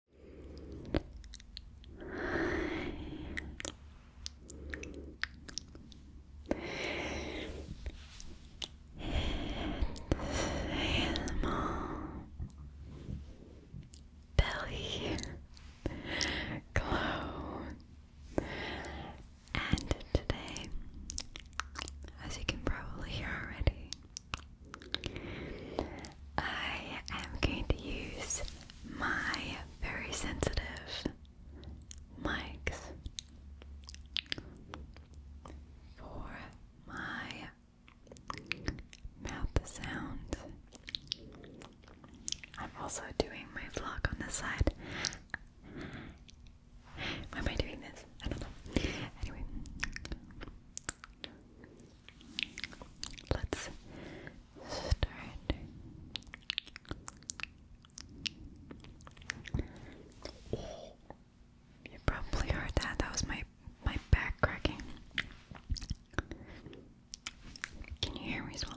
It's a small belly And today, as you can probably hear already, I am going to use my very sensitive mics for my mouth sound. I'm also doing my vlog on the side. Why am I doing this? I don't know. Anyway, Let's start. You probably heard that. That was my my back cracking. Can you hear me swallow?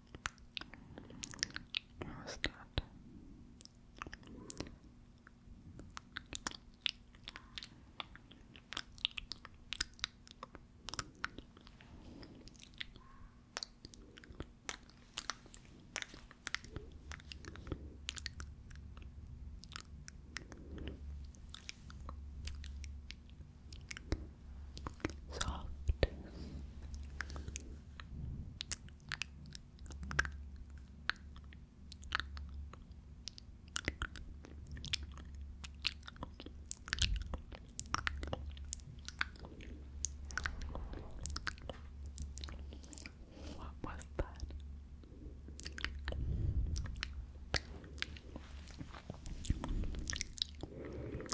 How is that? soft what was that?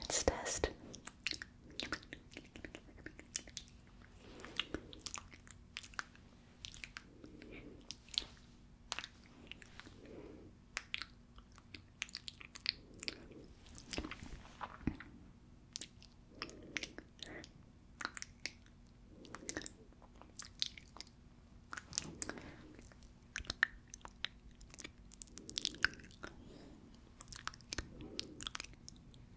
Let's test.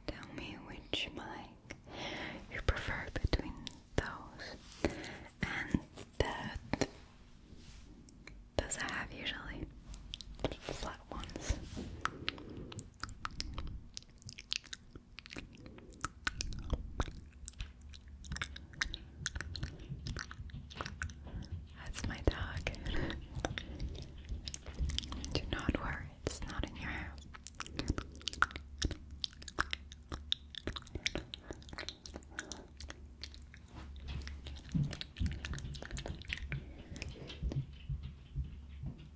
Tell me which mic you prefer between those and that. Those I have usually flat ones. That's my dog. Do not worry, it's not in your house.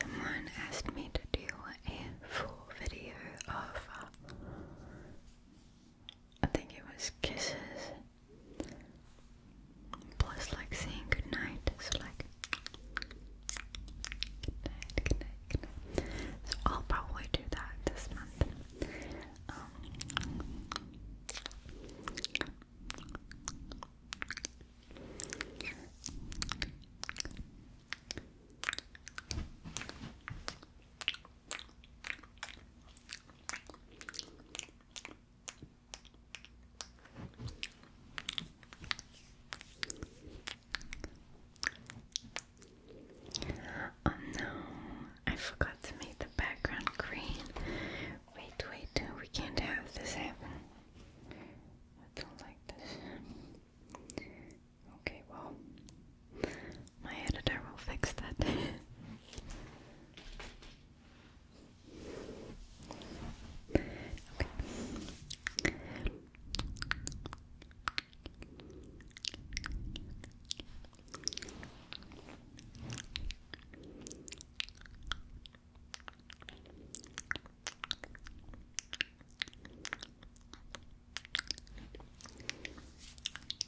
Someone asked me to do a full video of uh, I think it was kisses plus like saying goodnight, so like goodnight, goodnight, goodnight. So I'll probably do that this month. Um, Oh no, I forgot to make the background green. Wait, wait, we can't have this I don't like this. Okay, well, my editor will fix that.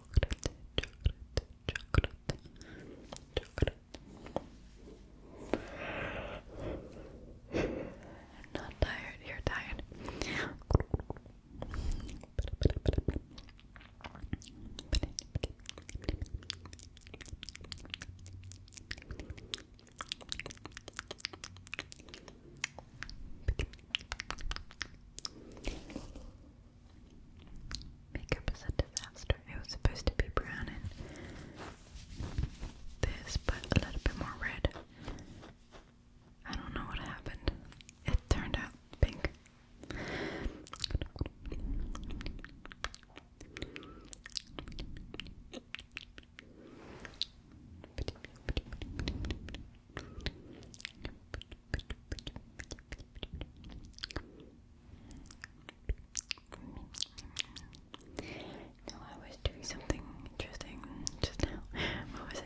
chocolate, chocolate, chocolate, chocolate. not tired, you're tired. Makeup is a disaster. It was supposed to be brown and this, but a little bit more red. I don't know what happened. It turned out pink. No, I was doing something interesting just now. What was it?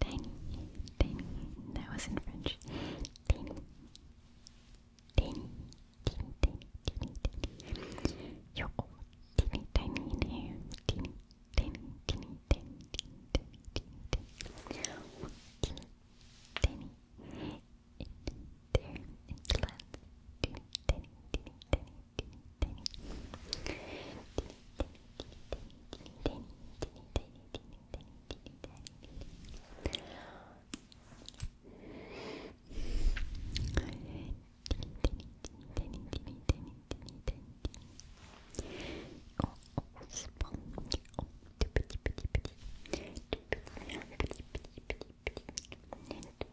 Tiny, tiny, that was in French. Tiny, tiny, tiny, tiny, tiny, tiny. You're all teeny tiny tiny, tiny, tiny, tiny. tiny in there, in the land, teeny, tiny, teeny, tiny, teeny, tiny, teeny, teeny, teeny, teeny, teeny, teeny, teeny, teeny, teeny, tiny,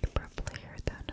You probably heard that.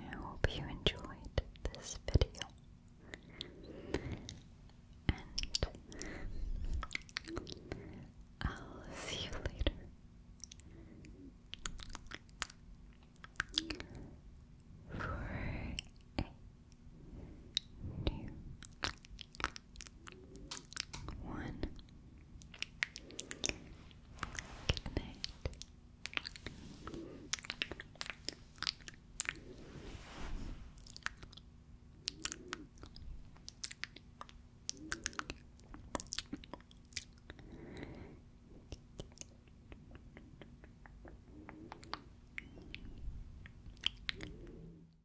I hope you enjoyed this video and I'll see you later for a new one. Good night.